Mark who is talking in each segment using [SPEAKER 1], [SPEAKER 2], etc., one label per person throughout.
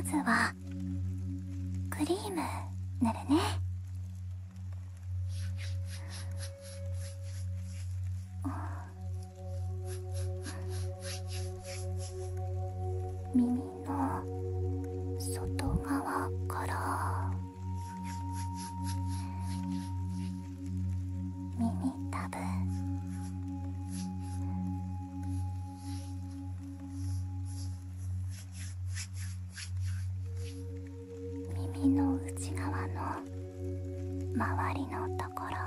[SPEAKER 1] まずはクリーム塗るね耳の外側から耳たぶ耳の内側の周りのところ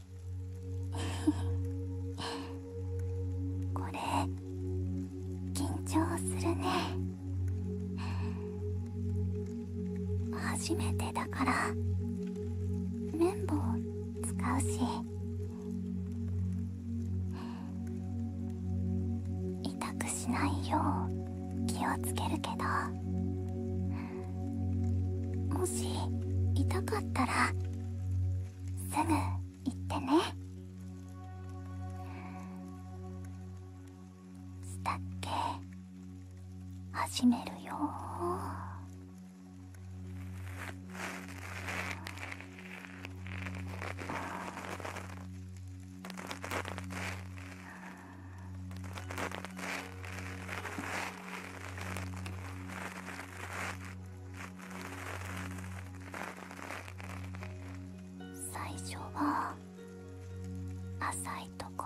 [SPEAKER 1] これ緊張す
[SPEAKER 2] るね初めてだから綿棒使うし
[SPEAKER 1] 痛くしないよう気をつけるけどもし痛かったらすぐ行ってねしたっけ始めるよ最初は浅いとこ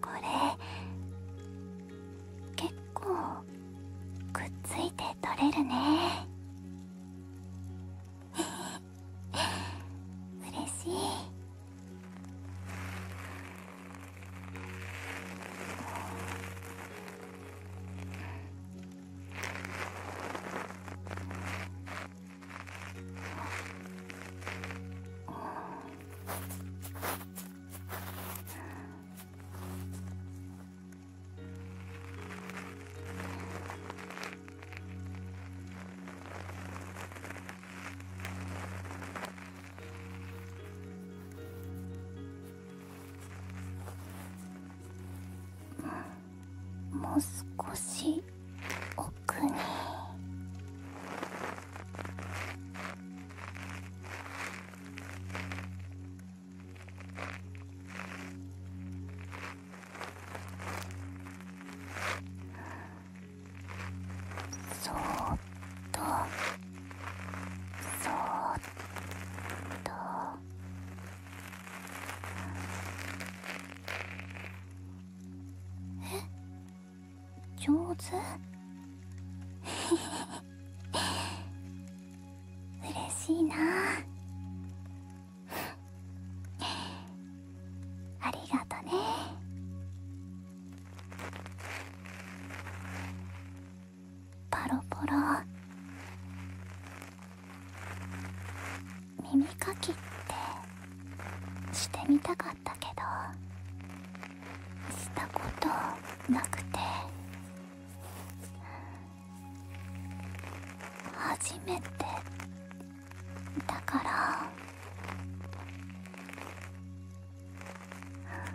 [SPEAKER 1] これ結構くっついて取れるね 嬉しいうん。もう少し奥に。そーっとそーっとえ上手 嬉しいなありがとねパロポロ耳かきってしてみたかったしたことなくて初めてだからうん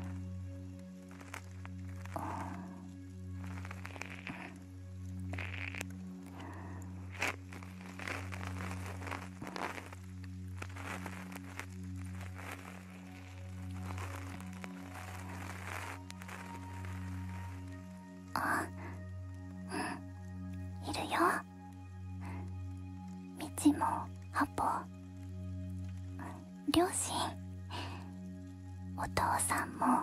[SPEAKER 1] あうんいるよ道もアポ
[SPEAKER 2] 両親お父さんも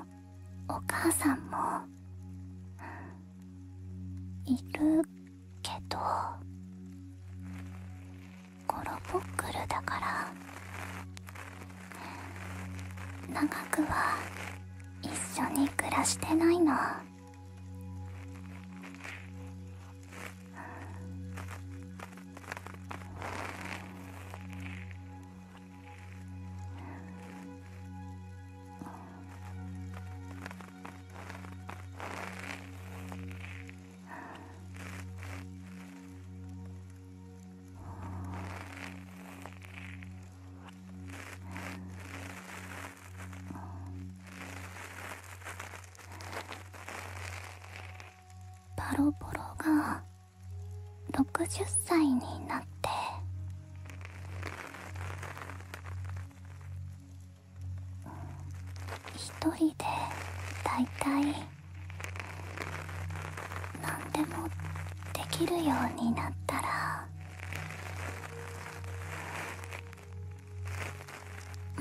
[SPEAKER 2] お母さんもいるけどゴロポックルだから
[SPEAKER 1] 長くは一緒に暮らしてないのバロボロが60歳になって一人でだいたい何でもできるようになったら、う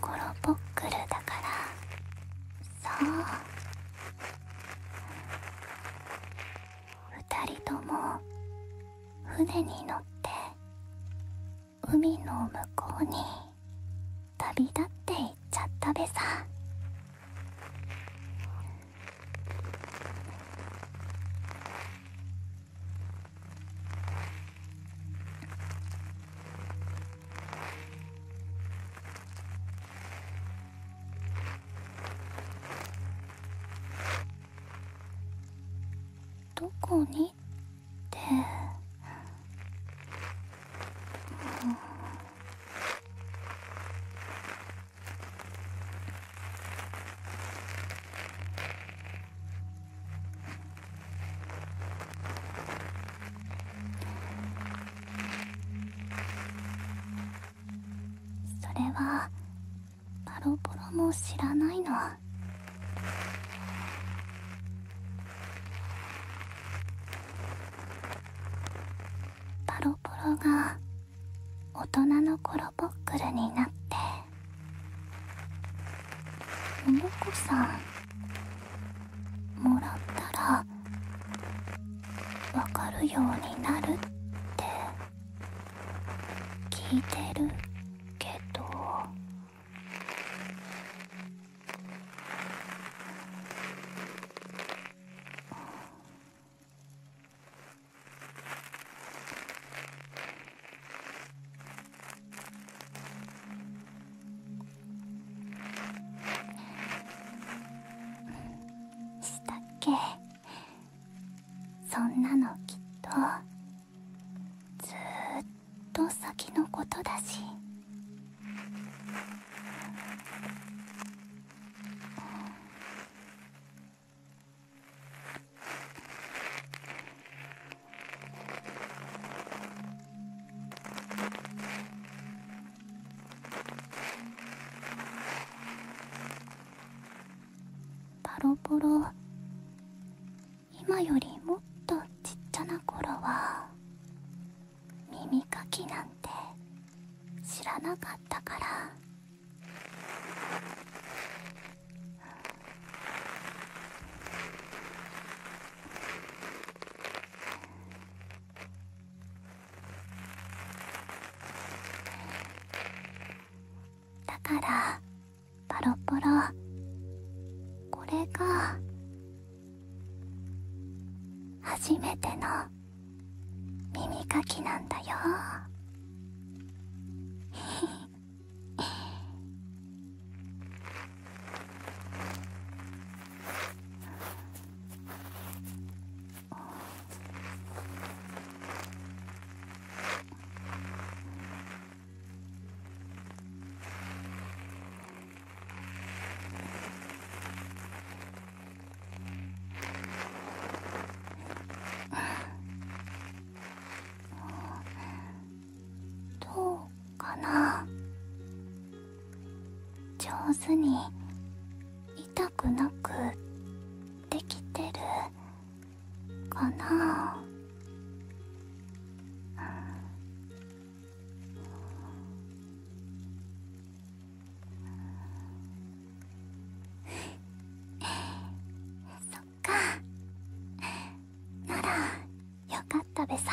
[SPEAKER 1] コロポックルだからそう二人とも船に乗って
[SPEAKER 2] 海の向こうに旅立っていっ
[SPEAKER 1] ちゃったべさどこにって、うん、それはパロポロも知らないのパロポロ
[SPEAKER 2] が大人のコロポックルになって
[SPEAKER 1] モ桃コさんもらったらわかるようになるって聞いてるけどしたっけそんなのきっとずっと先のことだしパロポロ
[SPEAKER 2] 今よりもっとちっちゃな頃は耳かきなんて知らなかったから
[SPEAKER 1] だからパロポロこれが初めての耳かきなんだよ どうかな上手に痛くなくできてるかなそっかならよかったべさ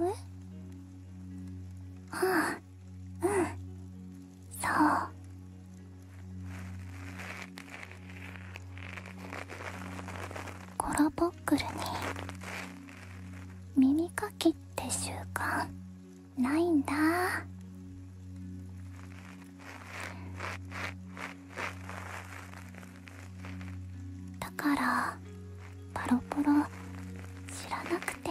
[SPEAKER 1] えっ？ああうんそうコロボックルに耳かきって習慣ないんだだからパロポロ知らなくて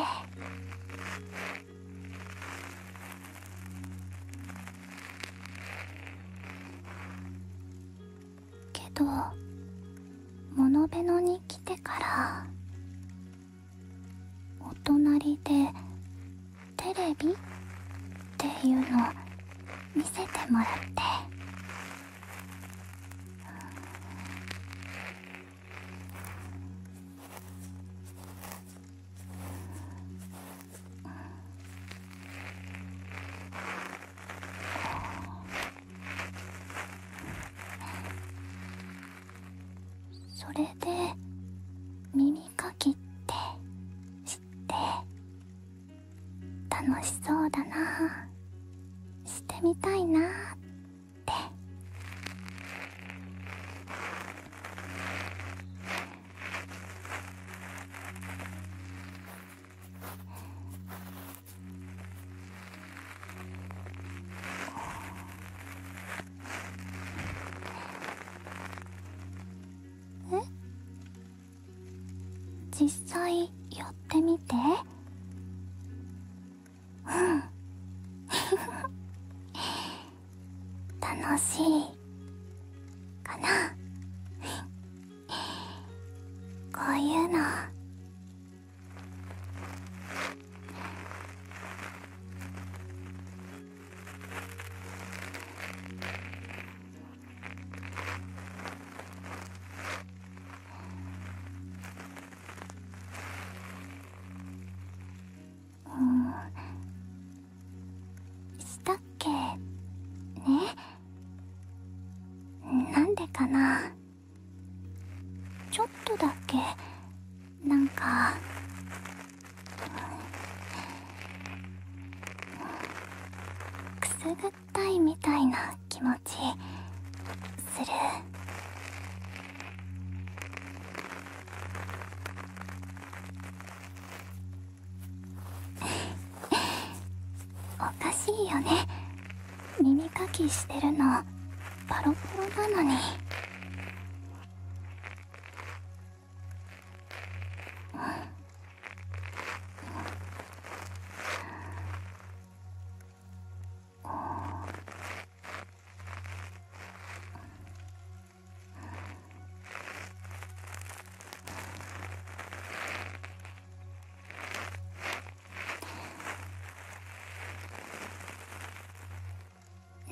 [SPEAKER 2] けどモノベノに来てからお隣でテレビっ
[SPEAKER 1] ていうの見せてもらって。それで耳かきって知って楽しそうだな知っしてみたいなーって
[SPEAKER 2] 実際やってみてうん
[SPEAKER 1] 楽しいかなこういうのうんしたっけねなんでかなちょっとだけなんかくすぐったいみたいな気持ちする
[SPEAKER 2] おかしいよね耳かきしてるのパロパロな
[SPEAKER 1] のに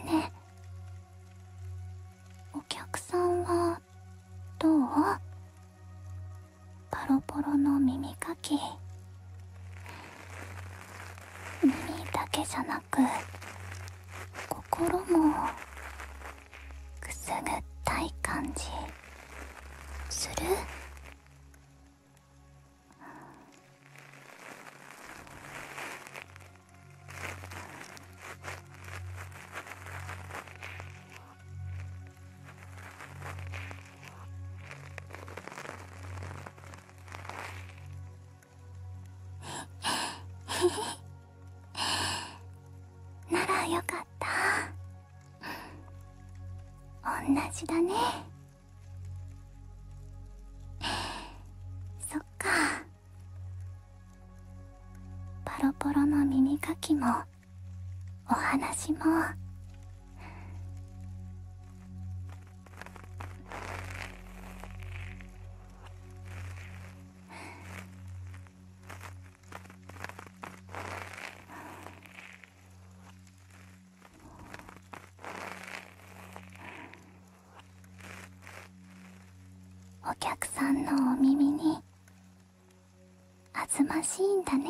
[SPEAKER 1] ねえ、お客さんはどうボロボロの耳かき耳だけじゃなく心もくすぐったい感じするならよかった同じだねそっか
[SPEAKER 2] パロポロの耳かきも
[SPEAKER 1] お話もお客さんのお耳にあずましいんだね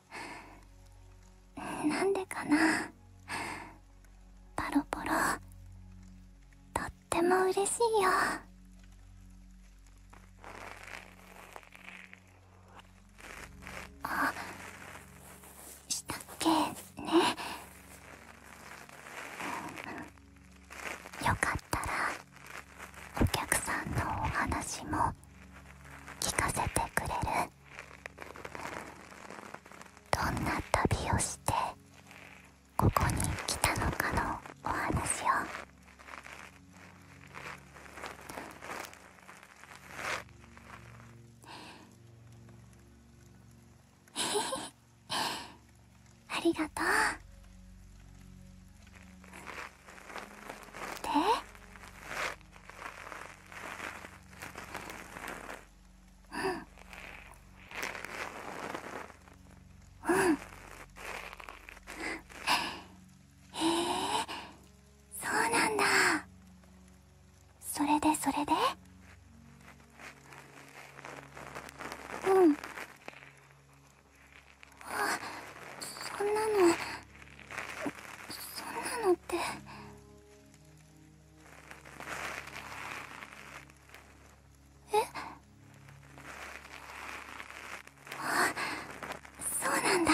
[SPEAKER 1] なんでかなパロポロとっても嬉しいよあしたっけねよかったらお客さんのお話も聞かせてくれるどんな旅をしてここに来たのかのお話を ありがとうでううん。ん。へえ。それでそれでうんあそんなのそんなのってえっ？あっそうなんだ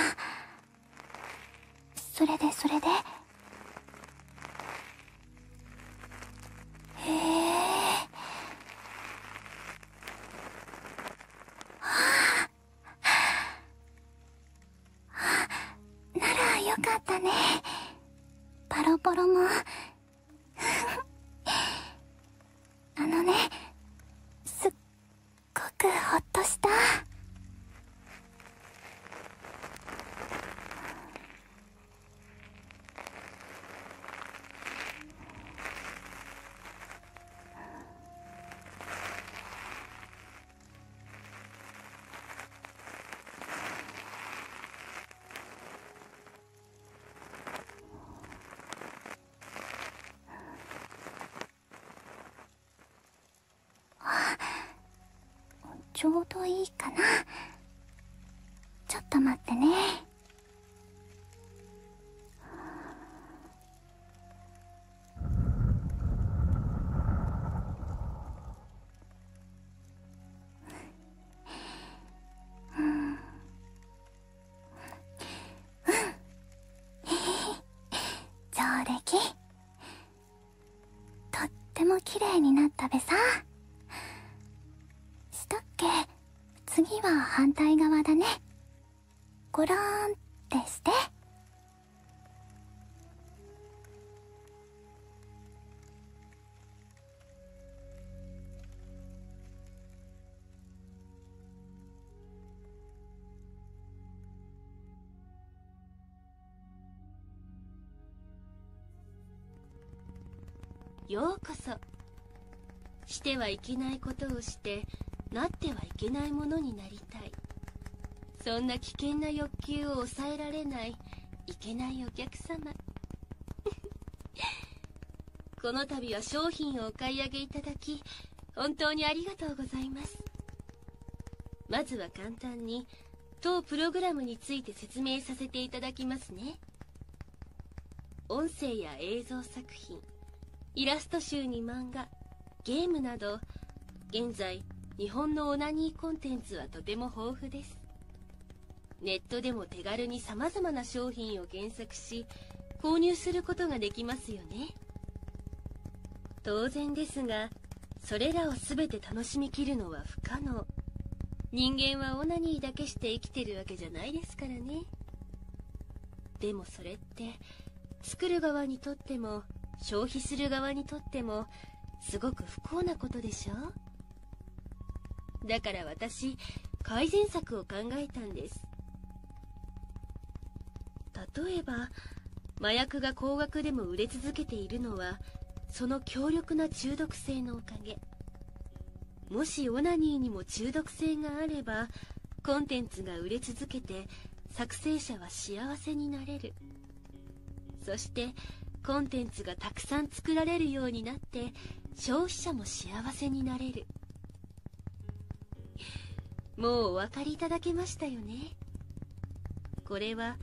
[SPEAKER 1] それでそれでへえはあならよかったねパロポロも あのねすっごくほっとしたあちょうどいいかなちょっと待ってね上出
[SPEAKER 2] 来とっても綺麗になったべさしたっけ次は反対側だねごろんってして。ようこそしてはいけないことをしてなってはいけないものになりたいそんな危険な欲求を抑えられないいけないお客様 この度は商品をお買い上げいただき本当にありがとうございますまずは簡単に当プログラムについて説明させていただきますね音声や映像作品イラスト集に漫画ゲームなど現在日本のオナニーコンテンツはとても豊富ですネットでも手軽にさまざまな商品を検索し購入することができますよね当然ですがそれらを全て楽しみきるのは不可能人間はオナニーだけして生きてるわけじゃないですからねでもそれって作る側にとっても消費する側にとってもすごく不幸なことでしょだから私改善策を考えたんです例えば麻薬が高額でも売れ続けているのはその強力な中毒性のおかげもしオナニーにも中毒性があればコンテンツが売れ続けて作成者は幸せになれるそしてコンテンツがたくさん作られるようになって消費者も幸せになれるもうお分かりいただけましたよねこれは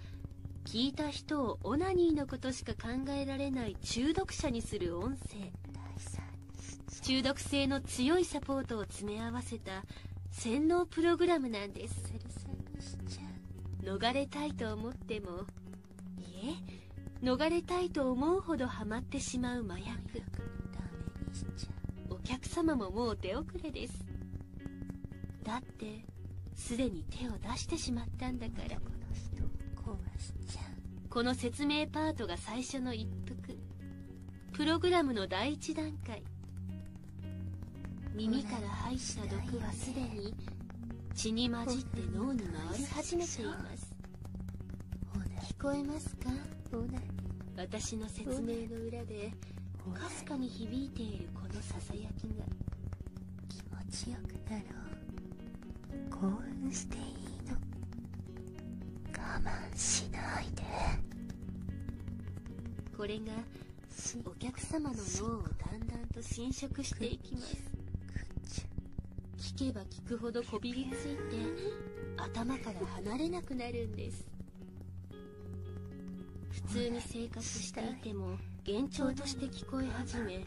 [SPEAKER 2] 聞いた人をオナニーのことしか考えられない中毒者にする音声中毒性の強いサポートを詰め合わせた洗脳プログラムなんです逃れたいと思ってもいえ逃れたいと思うほどハマってしまう麻薬お客様ももう手遅れですだってすでに手を出してしまったんだからこの説明パートが最初の一服プログラムの第1段階耳から排した毒はすでに血に混じって脳に回り始めています聞こえますか私の説明の裏でかすかに響いているこのささやきが気持ちよくなろう興奮していいの我慢しないでこれがお客様の脳をだんだんと侵食していきます聞けば聞くほどこびりついて頭から離れなくなるんです普通に生活していても幻聴として聞こえ始め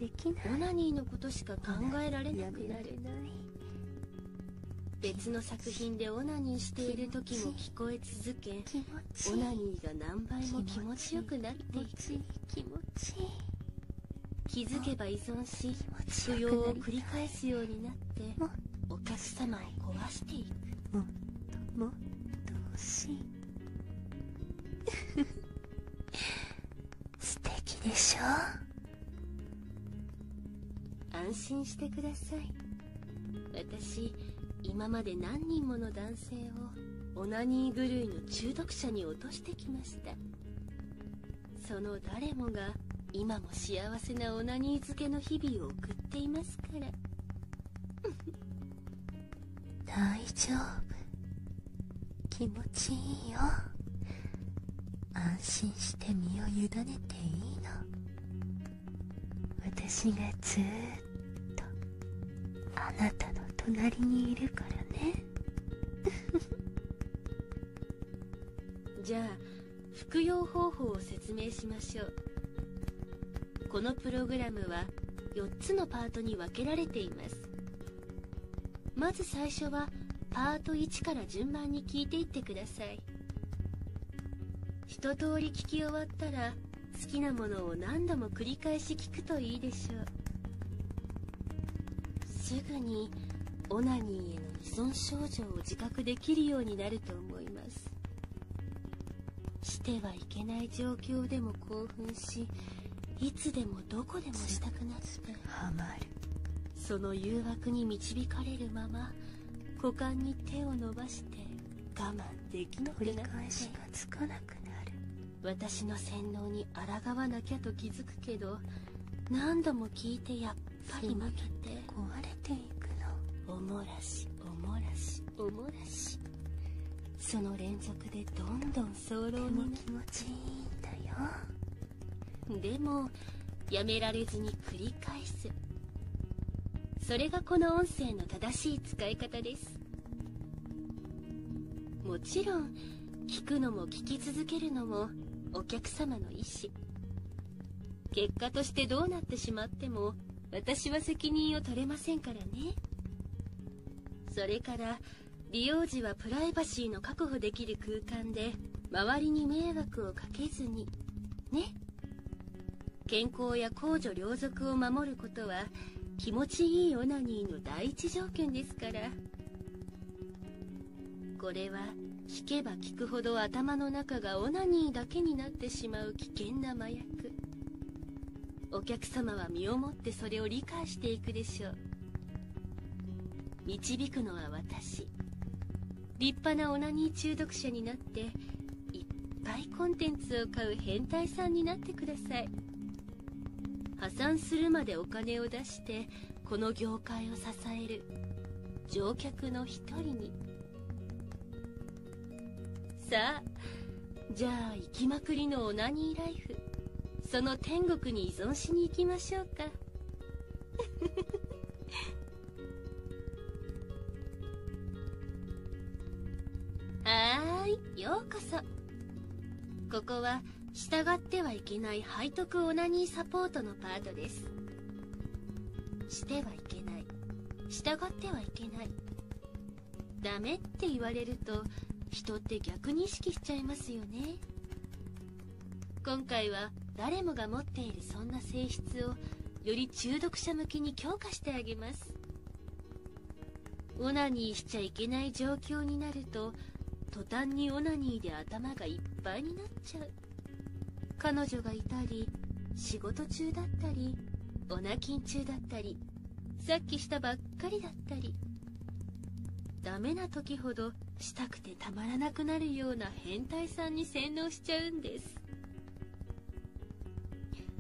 [SPEAKER 2] オナニーのことしか考えられなくなる別の作品でオナニーしている時もオナニーが何倍も気持ちよくなっていく気持ちいい気づけば依存し扶要を繰り返すようになってお客様を壊してい
[SPEAKER 1] くもっともっと欲しい 素敵でしょ安
[SPEAKER 2] 心してください私今まで何人もの男性をオナニー狂いの中毒者に落としてきましたその誰もが今も幸せなオナニー漬けの日々を送っていますから 大丈夫気持ちいいよ安心して身を委ねていいの私がずーっあなたの隣にいるからねじゃあ服用方法を説明しましょうこのプログラムは4つのパートに分けられていますまず最初はパート1から順番に聞いていってください一通り聞き終わったら好きなものを何度も繰り返し聞くといいでしょうすぐにオナニーへの依存症状を自覚できるようになると思いますしてはいけない状況でも興奮しいつでもどこでもしたくなってハマるその誘惑に導かれるまま股間に手を伸ばして我慢できなくなって繰しがなく私の洗脳に抗わなきゃと気づくけど何度も聞いてやっぱり負けて壊れていくのおもらしおもらしおもらしその連続でどんどん早漏に気持ちいいんだよでもやめられずに繰り返すそれがこの音声の正しい使い方ですもちろん聞くのも聞き続けるのもお客様の意思結果としてどうなってしまっても私は責任を取れませんからねそれから利用時はプライバシーの確保できる空間で周りに迷惑をかけずにね健康や公女両族を守ることは気持ちいいオナニーの第一条件ですからこれは聞けば聞くほど頭の中がオナニーだけになってしまう危険な麻薬お客様は身をもってそれを理解していくでしょう導くのは私立派なオナニー中毒者になっていっぱいコンテンツを買う変態さんになってください破産するまでお金を出してこの業界を支える乗客の一人にさあじゃあ行きまくりのオナニーライフその天国に依存しに行きましょうか はいようこそここは従ってはいけない背徳オナニーサポートのパートですしてはいけない従ってはいけないダメって言われると人って逆に意識しちゃいますよね今回は誰もが持っているそんな性質をより中毒者向きに強化してあげますオナニーしちゃいけない状況になると途端にオナニーで頭がいっぱいになっちゃう彼女がいたり仕事中だったりオナキ中だったりさっきしたばっかりだったりダメな時ほどしたくてたまらなくなるような変態さんに洗脳しちゃうんです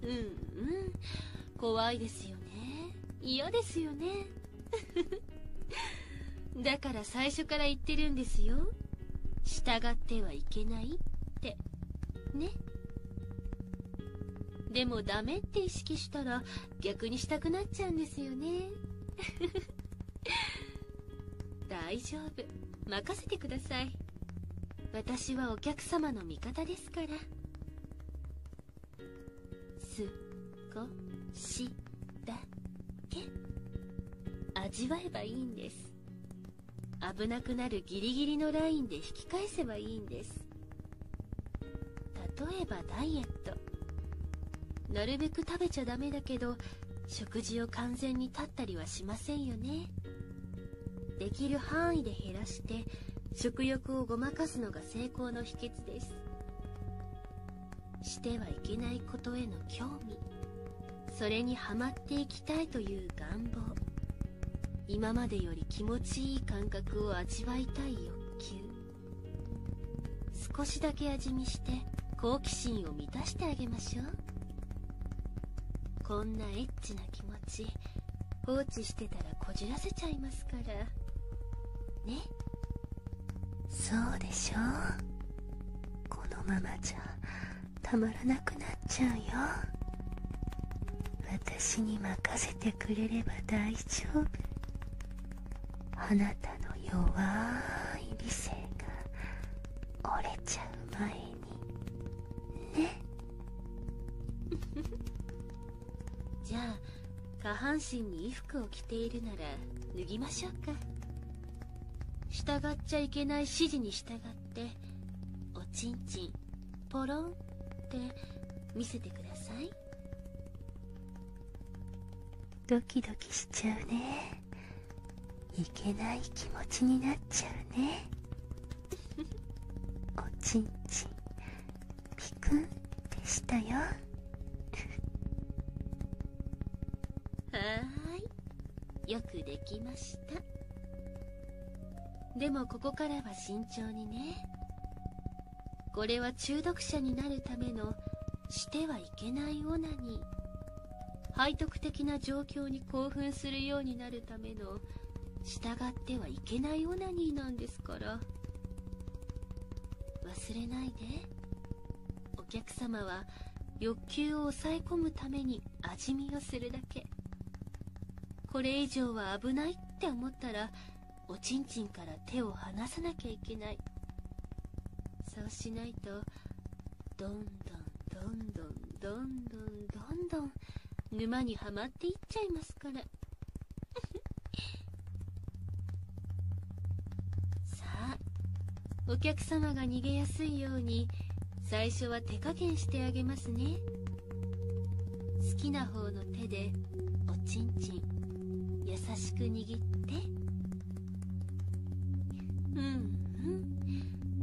[SPEAKER 2] うんうん怖いですよね嫌ですよね だから最初から言ってるんですよ従ってはいけないってねでもダメって意識したら逆にしたくなっちゃうんですよね 大丈夫任せてください私はお客様の味方ですですから少しだけ味わえばいいんです危なくなるギリギリのラインで引き返せばいいんです例えばダイエットなるべく食べちゃダメだけど食事を完全に断ったりはしませんよねできる範囲で減らして食欲をごまかすのが成功の秘訣ですしてはいけないことへの興味それにはまっていきたいという願望今までより気持ちいい感覚を味わいたい欲求少しだけ味見して好奇心を満たしてあげましょうこんなエッチな気持放置してたらこじらせちゃいますからねそうでしょこのままじゃたまらなくなっちゃうよ私に任せてくれれば大丈夫あなたの弱い理性が折れちゃう前にね じゃあ下半身に衣服を着ているなら脱ぎましょうか従っちゃいけない指示に従っておちんちんポロンって見せてくださいドキドキしちゃうねいけない気持ちになっちゃうねおちんちんピクンでしたよはーいよくできましたでもここからは慎重にねこれは中毒者になるためのしてはいけないオナニー背徳的な状況に興奮するようになるためのの従ってはいけないオナニーなんですから忘れないでお客様は欲求を抑え込むために味見をするだけこれ以上は危ないって思ったらおちんちんから手を離さなきゃいけないそうしないとどんどんどんどんどんどんどん沼にはまっていっちゃいますからぬ さあお客様が逃げやすいように最初は手加減してあげますね好きな方の手でおちんちん優しく握ってうんう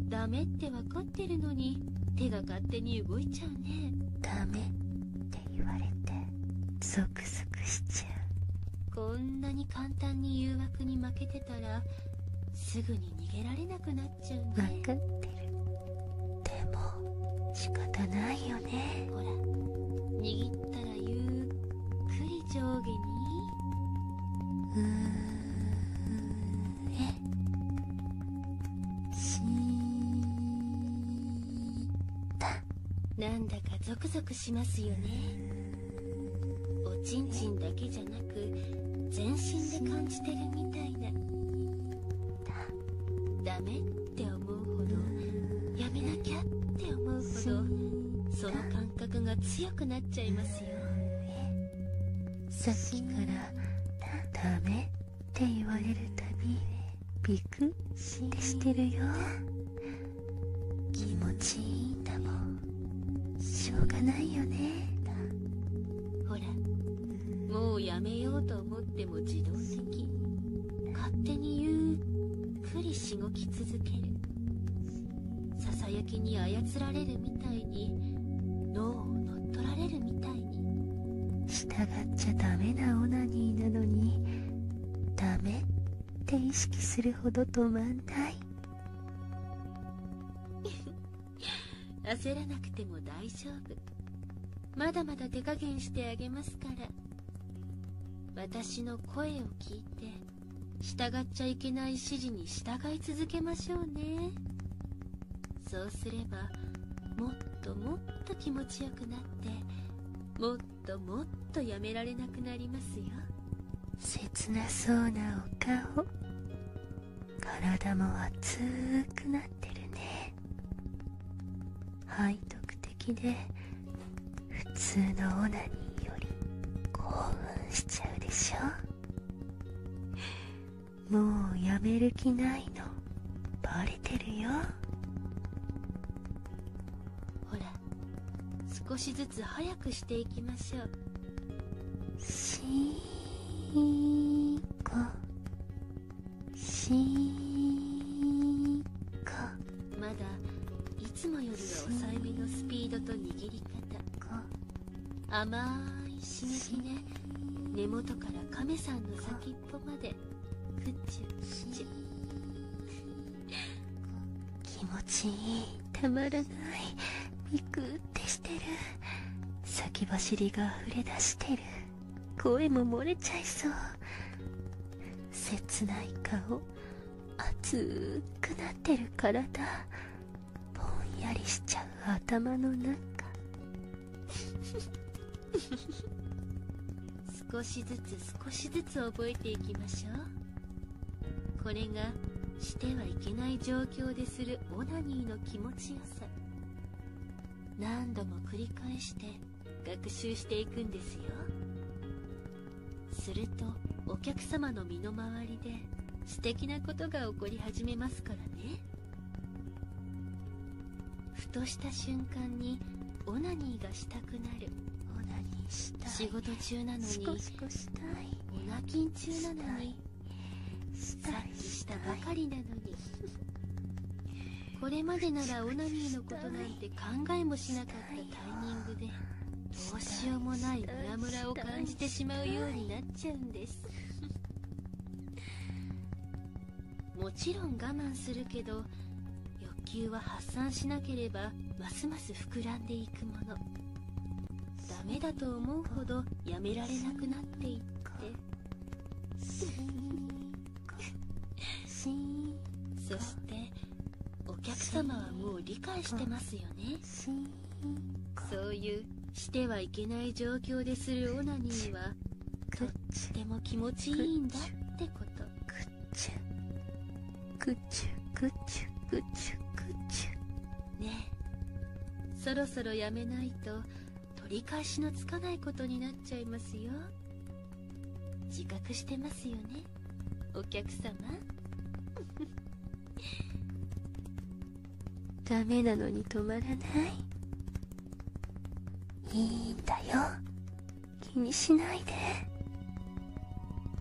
[SPEAKER 2] んダメってわかる？てるのに手が勝手に動いちゃうねダメって言わ
[SPEAKER 1] れてゾクゾクしちゃ
[SPEAKER 2] うこんなに簡単に誘惑に負けてたらすぐに逃げられなくなっちゃうね分かってるでも仕方ないよねほら握ったらゆっくり上下にうーなんだかゾクゾクしますよねおちんちんだけじゃなく全身で感じてるみたいなダメって思うほどやめなきゃって思うほどその感覚が強くなっちゃいますよさっきからダメって言われるたびビクッてしてるよ気持ちいいんだもんしょうがないよねほらもうやめようと思っても自動的勝手にゆっくりしごき続けるささやきに操られるみたいに脳を乗っ取られるみたい従っちゃダメなオナニーなのにダメって意識するほど止まんない 焦らなくても大丈夫まだまだ手加減してあげますから私の声を聞いて従っちゃいけない指示に従い続けましょうねそうすればもっともっと気持ちよくなってもっともっとやめられなくなりますよ切なそうなお顔体も熱くなってるね背徳的で普通のオナニーより興奮しちゃうでしょもうやめる気ないのバレて
[SPEAKER 1] るよほら
[SPEAKER 2] 少しずつ早くしていきましょうしーこしーこまだいつもよりは抑えめのスピードと握り方甘い刺激ね根元から亀さんの先に歩までくちゅくちゅ気持ちいいたまらないビクってしてる先走りが溢れ出してる声も漏れちゃいそう切ない顔熱くなってる体ぼんやりしちゃう頭の中少しずつ少しずつ覚えていきましょうこれがしてはいけない状況でするオナニーの気持ちよさ何度も繰り返して学習していくんですよするとお客様の身の回りで素敵なことが起こり始めますからねふとした瞬間にオナニーがしたくなる仕事中なのにシコシコオナキ中なのに察知したばかりなのにこれまでならオナニーのことなんて考えもしなかったタイミングでどうしようもないムラムラを感じてしまうようになっちゃうんですもちろん我慢するけど欲求は発散しなければますます膨らんでいくものダメだと思うほどやめられなくなっていってそしてお客様はもう理解してますよねそういうしてはいけない状況でするオナニーはとっても気持ちいいんだってことくっちゅくっちゅくっちゅくっちゅくっちゅねえそろそろやめないと取り返しのつかないことになっちゃいますよ自覚してますよねお客様ダメなのに止まらないいいんだよ気にしないで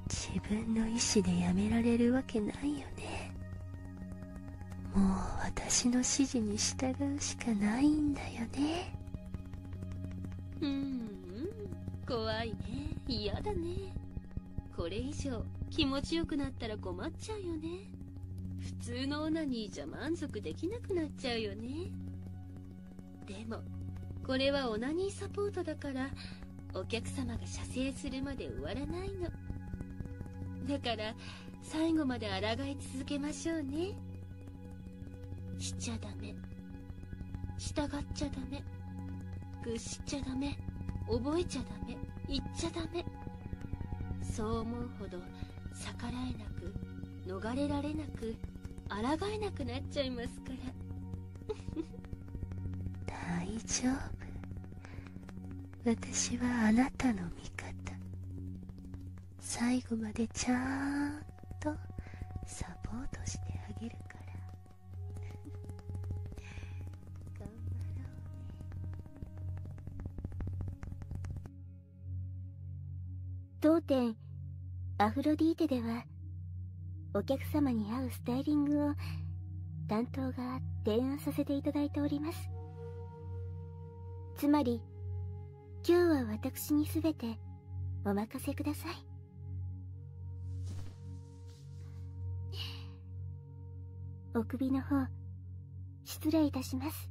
[SPEAKER 2] 自分の意思でやめられるわけないよねもう私の指示に従うしかないんだよねうん、うん、怖いね嫌だねこれ以上気持ちよくなったら困っちゃうよね普通のオナニーじゃ満足できなくなっちゃうよねでもこれはオナニーサポートだからお客様が射精するまで終わらないのだから最後まで抗い続けましょうねしちゃダメ従っちゃダメ屈しちゃダメ覚えちゃダメ言っちゃダメそう思うほど逆らえなく逃れられなく抗えなくなっちゃいますから 大丈夫私はあなたの味方最後までちゃんとサポートしてあげるから 当店アフロディーテではお客様に合うスタイリングを担当が提案させていただいておりますつまり今日は私に全てお任せくださいお首の方失礼いたします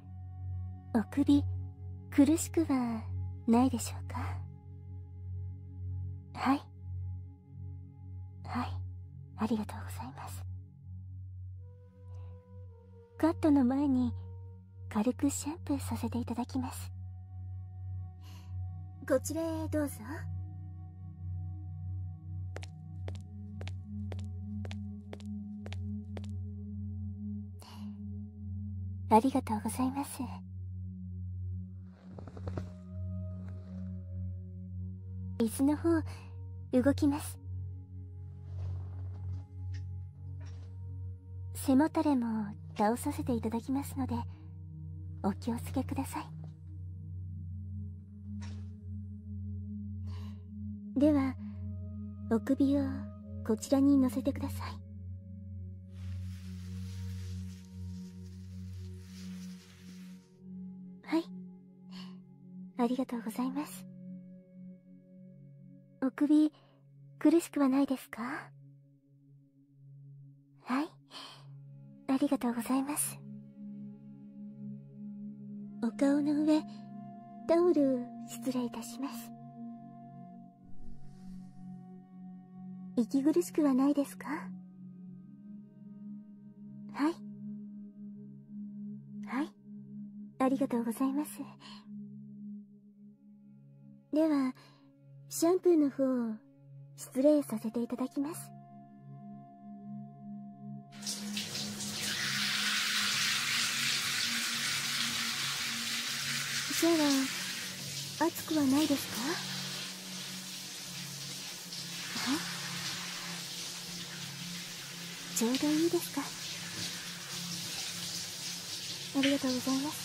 [SPEAKER 2] お首苦しくはないでしょうかはいはいありがとうございますカットの前に軽くシャンプーさせていただきますこちらへどうぞありがとうございます水の方動きます背もたれも倒させていただきますのでお気を付けくださいではお首をこちらに乗せてくださいはいありがとうございますお首苦しくはないですかはいありがとうございますお顔の上タオル失礼いたします息苦しくはないですかはいはいありがとうございますではシャンプーの方を失礼させていただきますシャワー熱くはないですかえ。ちょうどいいですかありがとうございます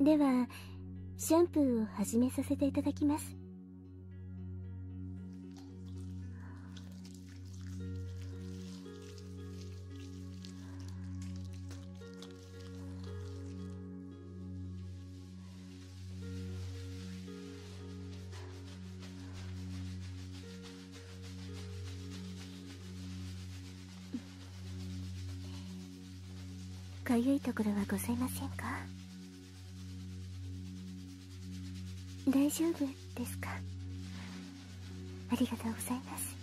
[SPEAKER 2] ではシャンプーを始めさせていただきますかゆいところはございませんか大丈夫ですかありがとうございます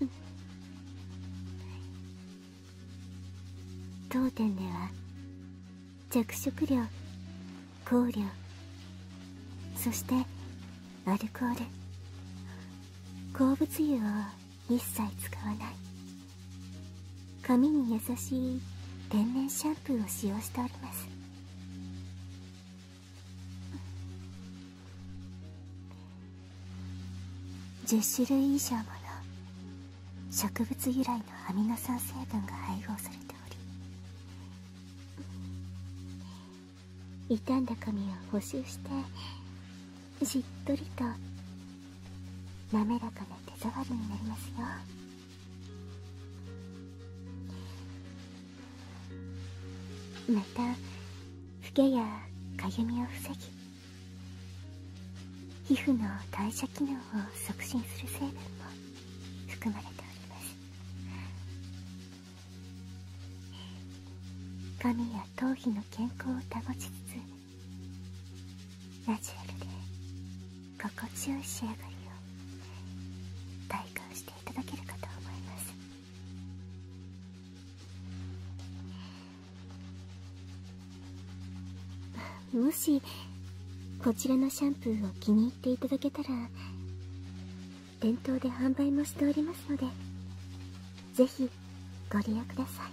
[SPEAKER 2] うん、当店では着色料香料そしてアルコール鉱物油を一切使わない髪に優しい天然シャンプーを使用しております10種類以上もの植物由来のアミノ酸成分が配合されており傷んだ髪を補修してしっとりと滑らかな手触りになりますよまたフケやかゆみを防ぎ皮膚の代謝機能を促進する成分も含まれております髪や頭皮の健康を保ちつつナチュラルで心地よい仕上がり
[SPEAKER 1] を体感していただけるかと思いま
[SPEAKER 2] すもしこちらのシャンプーを気に入っていただけたら店頭で販売もしておりますのでぜひご利用ください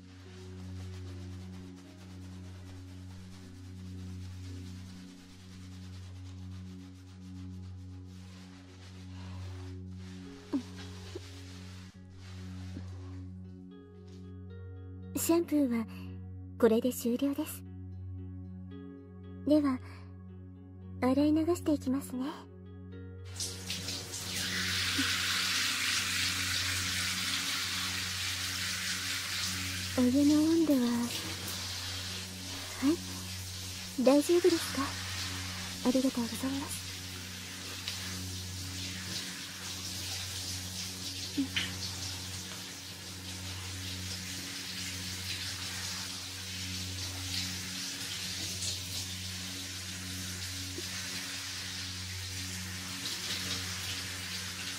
[SPEAKER 2] シャンプーはこれで終了ですでは洗い流していきますねお湯の温度ははい大丈夫ですかありがとうございます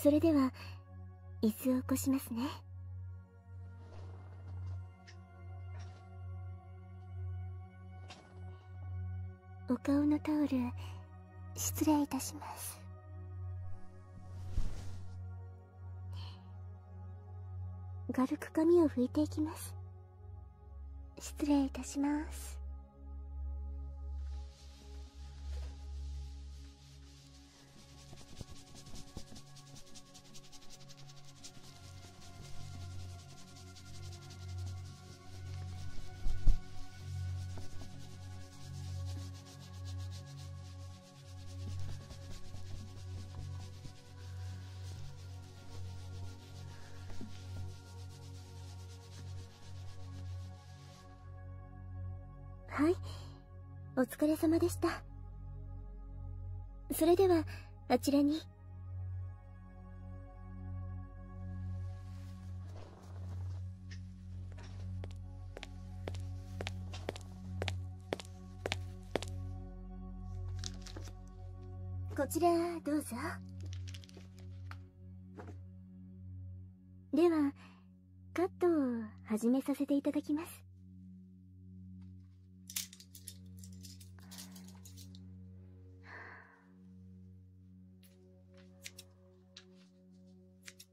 [SPEAKER 2] それでは椅子を起こしますねお顔のタオル失礼いたします軽く髪を拭いていきます失礼いたしますはいお疲れ様でしたそれではあちらにこちらどうぞではカットを始めさせていただきます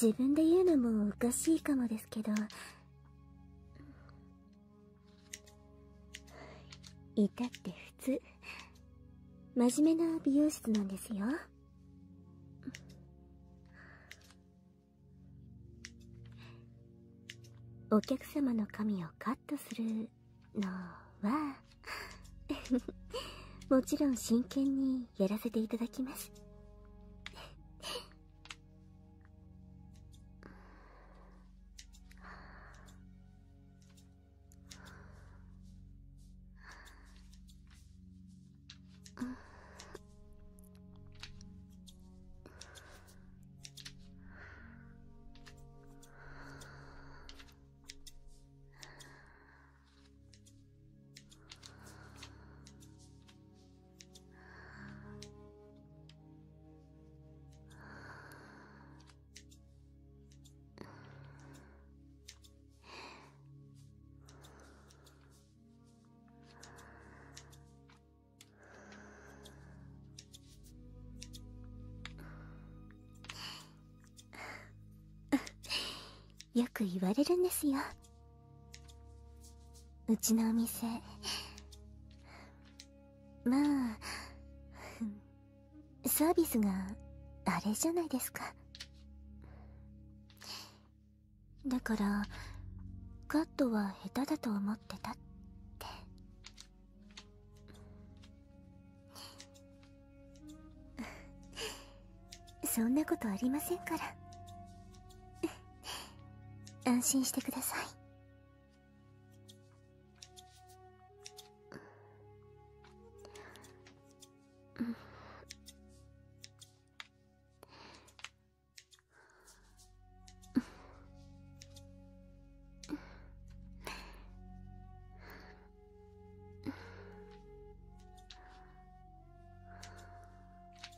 [SPEAKER 2] 自分で言うのもおかしいかもですけどいたって普通真面目な美容室なんですよお客様の髪をカットするのは もちろん真剣にやらせていただきますよく言われるんですようちのお店まあサービスがあれじゃないですかだからカットは下手だと思ってたってそんなことありませんから安心してください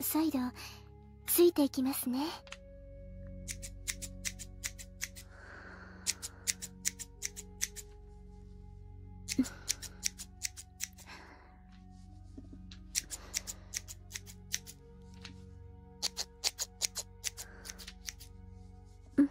[SPEAKER 2] 再度ついていきますね
[SPEAKER 1] うん。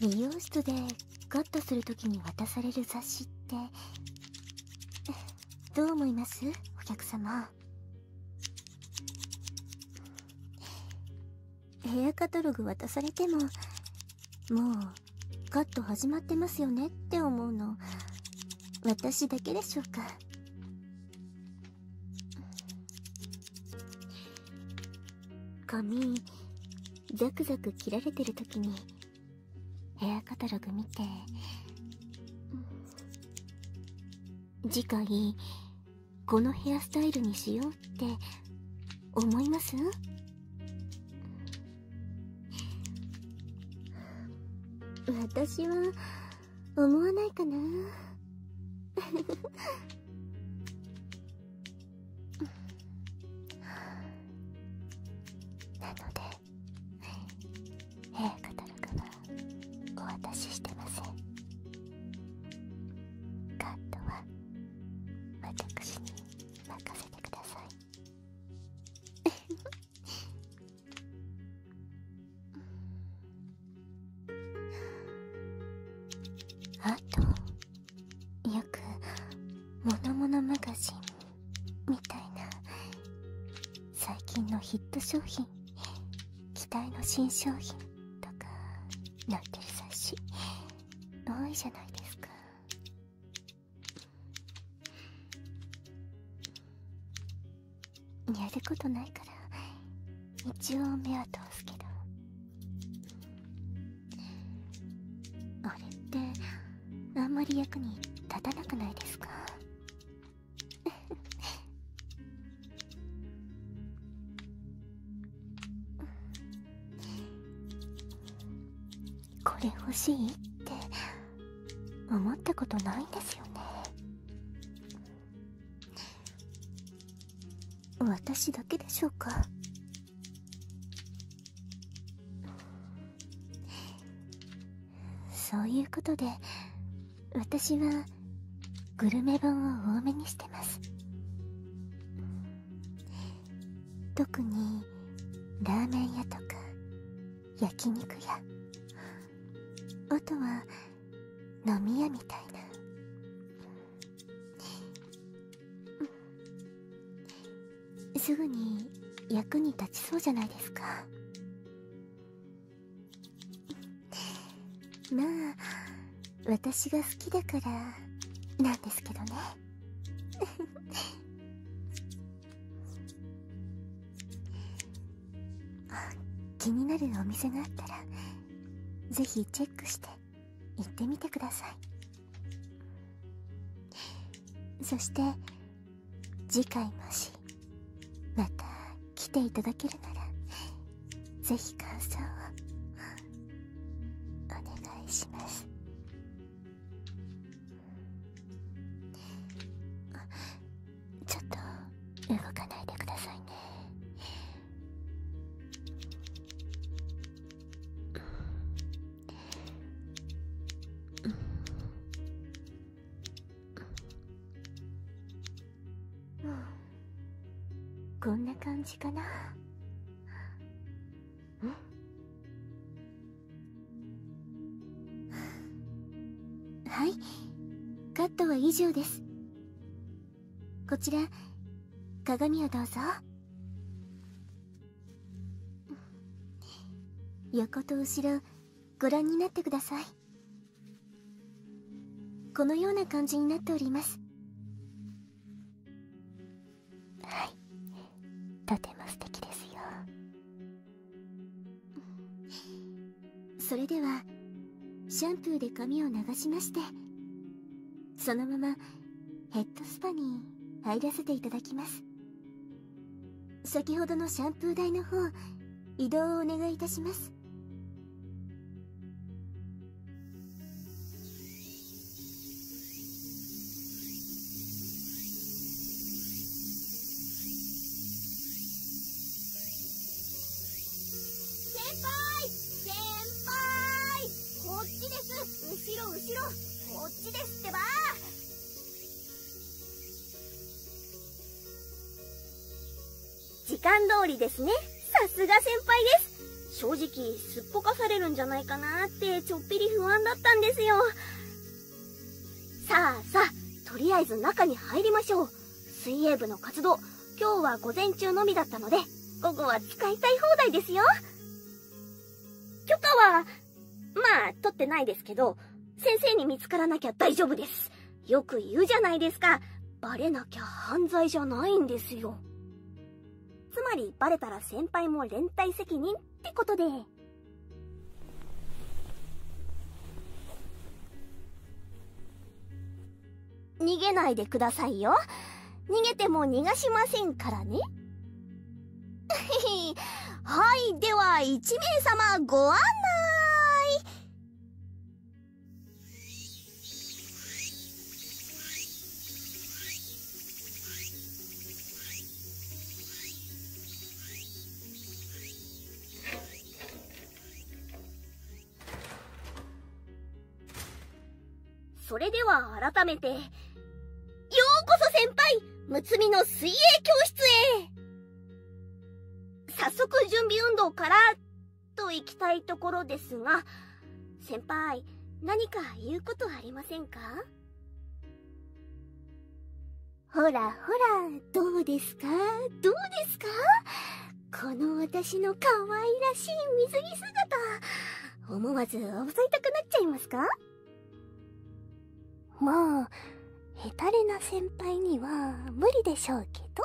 [SPEAKER 2] 美容室でカットするときに渡される雑誌ってどう思いますお客様ヘアカタログ渡されてももうカット始まってますよねって思うの私だけでしょうか髪ザクザク切られてる時にヘアカタログ見て次回このヘアスタイルにしようって思います私は思わないかななので
[SPEAKER 1] ヘアカタログはお渡ししてませんカットは私に任せてください あとよく「ものものマ
[SPEAKER 2] ガジン」みたいな最近のヒット商品期待の新商品とか載ってる雑誌多いじゃないですかやることないから一応目は通すけどあれってあんまり役に立たなくないですか
[SPEAKER 1] これ欲しいって
[SPEAKER 2] 思ったことないんですよね私だけでしょうかそういうことで私はグルメ本を多めにしてます特にラーメン屋とか焼肉屋あとは飲み屋みたいなすぐに役に立ちそうじゃないですかまあ私が好きだからなんですけどね 気になるお店があったらぜひチェックして行ってみてくださいそして次回もしまた来ていただけるならぜひ感想をお願いします
[SPEAKER 1] あ、ちょっと動かないでくださいね
[SPEAKER 2] うん、こんな感じかな はいカットは以上ですこちら鏡をどうぞ横と後ろご覧になってくださいこのような感じになっておりますはいとても素敵ですよそれではシャンプーで髪を流しましてそのままヘッドスパに入らせていただきます先ほどのシャンプー台の方移動をお願いいたしますこっちですってば時間通りですねさすが先輩です正直すっぽかされるんじゃないかなってちょっぴり不安だったんですよさあさあとりあえず中に入りましょう水泳部の活動今日は午前中のみだったので午後は使いたい放題ですよ許可はまあ取ってないですけど先生に見つからなきゃ大丈夫ですよく言うじゃないですかバレなきゃ犯罪じゃないんですよつまりバレたら先輩も連帯責任ってことで。逃げないでくださいよ。逃げても逃がしませんからね。はい、では1名様ご案内。それでは改めて、ようこそ先輩睦つの水泳教室へ早速準備運動から、といきたいところですが、先輩、何か言うことありませんかほらほら、どうですかどうですかこの私の可愛らしい水着姿、思わず襲いたくなっちゃいますかもう、ヘタレな先輩には無理でしょうけど。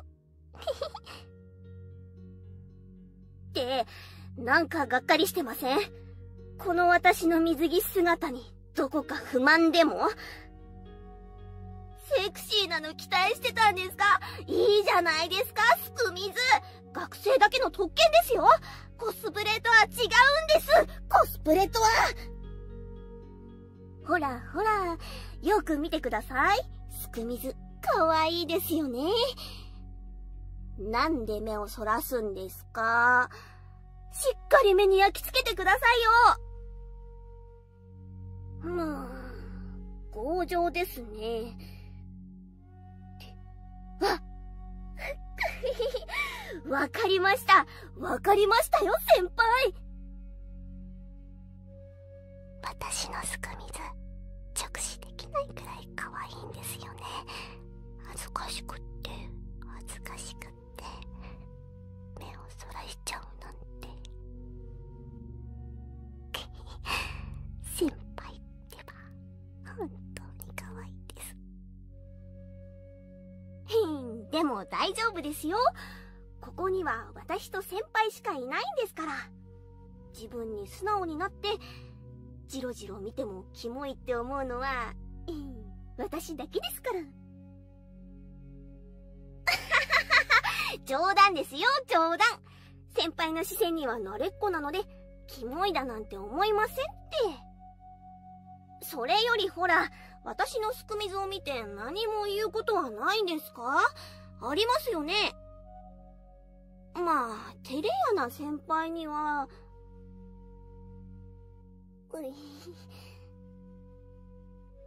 [SPEAKER 1] って、
[SPEAKER 2] なんかがっかりしてませんこの私の水着姿にどこか不満でもセクシーなの期待してたんですかいいじゃないですか、スクミズ学生だけの特権ですよコスプレとは違うんですコスプレとはほらほら、よく見てください。スクミズ、かわいいですよね。なんで目をそらすんですですしっかり目に焼き付けてくださいようーん、強情ですね。あ わかりました。わかりましたよ、先輩私のすく水、直視できないくらいい可愛いんですよね恥ずかしくって恥ずかしくって目をそらしちゃう
[SPEAKER 1] なんて先輩 ってば本当に可愛
[SPEAKER 2] いですへん でも大丈夫ですよここには私と先輩しかいないんですから自分に素直になってじろじろ見てもキモいって思うのは、私だけですから。冗談ですよ、冗談。先輩の視線には慣れっこなので、キモいだなんて思いませんって。それよりほら、私のすくみずを見て何も言うことはないんですかありますよね。まあ、照れ屋な先輩には、うい。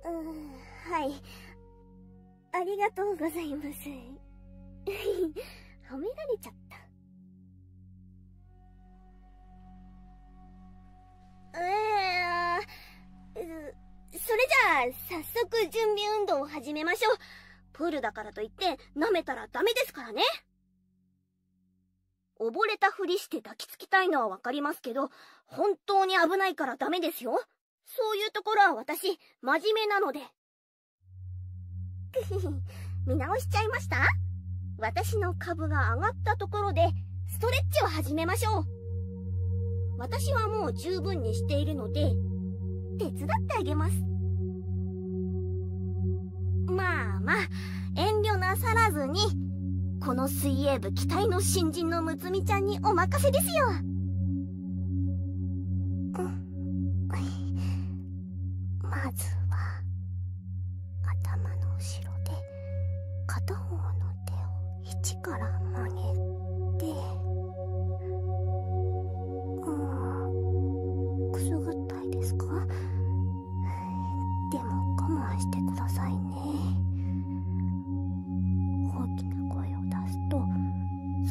[SPEAKER 2] うん、はい。ありがとうございます。褒められちゃった。ええそれじゃあ、早速準備運動を始めましょう。プールだからといって、舐めたらダメですからね。溺れたふりして抱きつきたいのはわかりますけど、本当に危ないからダメですよ。そういうところは私、真面目なので。見直しちゃいました私の株が上がったところで、ストレッチを始めましょう。私はもう十分にしているので、手伝ってあげます。まあまあ遠慮なさらずにこの水泳部期待の新人の睦美ちゃんにお任せですよまずは頭の後ろで片方の手
[SPEAKER 1] を縁から曲げてうんくすぐったいですか
[SPEAKER 2] でも我慢してくださいね大きな声を出すと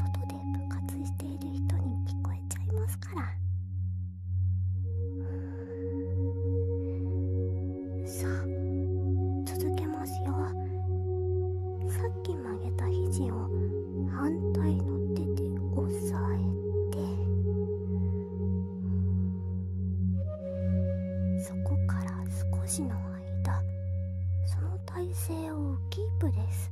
[SPEAKER 2] 外で部活している人に聞こえちゃいますから
[SPEAKER 1] さあ続けますよさっき曲
[SPEAKER 2] げた肘を反対の手で押さえて。そこから少しの間その体勢をキープです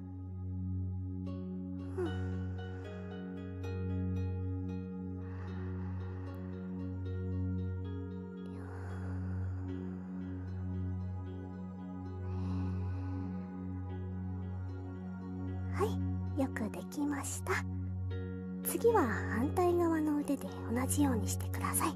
[SPEAKER 2] はいよくできました次は反対側の腕で同じようにしてください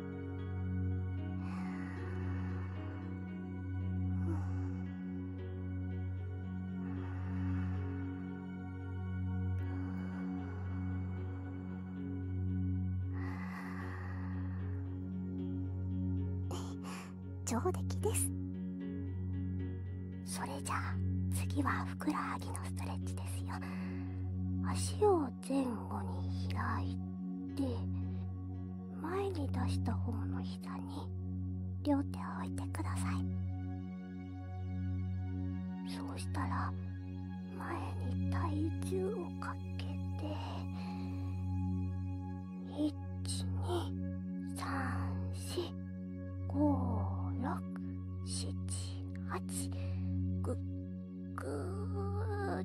[SPEAKER 2] 上出来ですそ
[SPEAKER 1] れじゃあ次はふくらはぎのストレッチですよ足
[SPEAKER 2] を前後に開いて前に出した方
[SPEAKER 1] の膝に
[SPEAKER 2] 両手を置いてくださいそうしたら前に体重をかけて
[SPEAKER 1] 123456789ぐーっ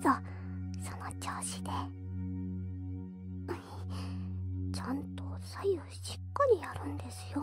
[SPEAKER 1] そうその調子でちゃん
[SPEAKER 2] と左右しっかりやるんですよ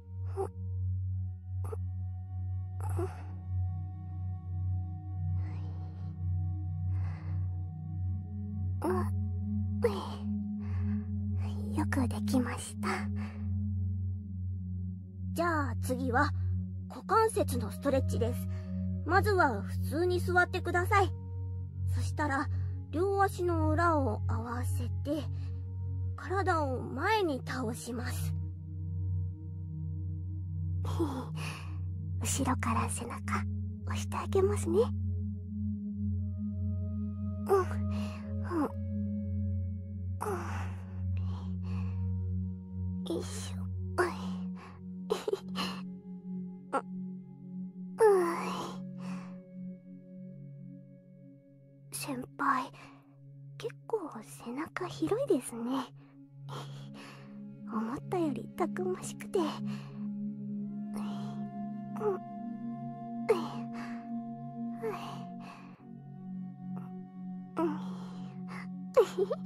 [SPEAKER 2] よくできましたじゃあ次は股関節のストレッチですまずは普通に座ってくださいそしたら両足の裏を合わせて体を前に倒します後ろから背中押してあげま
[SPEAKER 1] すねうんうん
[SPEAKER 2] 先輩結構背中広いですね 思ったよりたくましくて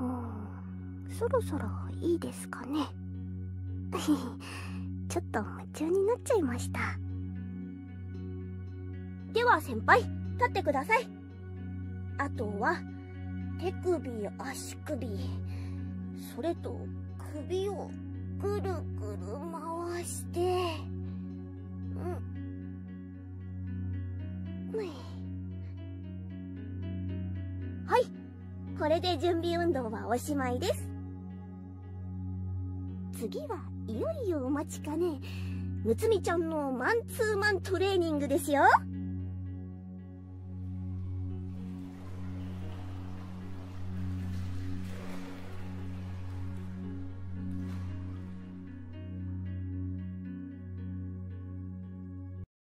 [SPEAKER 2] うんそろそろいいですかね ちょっと夢中になっちゃいましたでは先輩立ってくださいあとは手首足首それと首をぐるぐる回してうんはいこれで準備運動はおしまいです次はいよいよお待ちかねむつみちゃんのマンツーマントレーニングですよ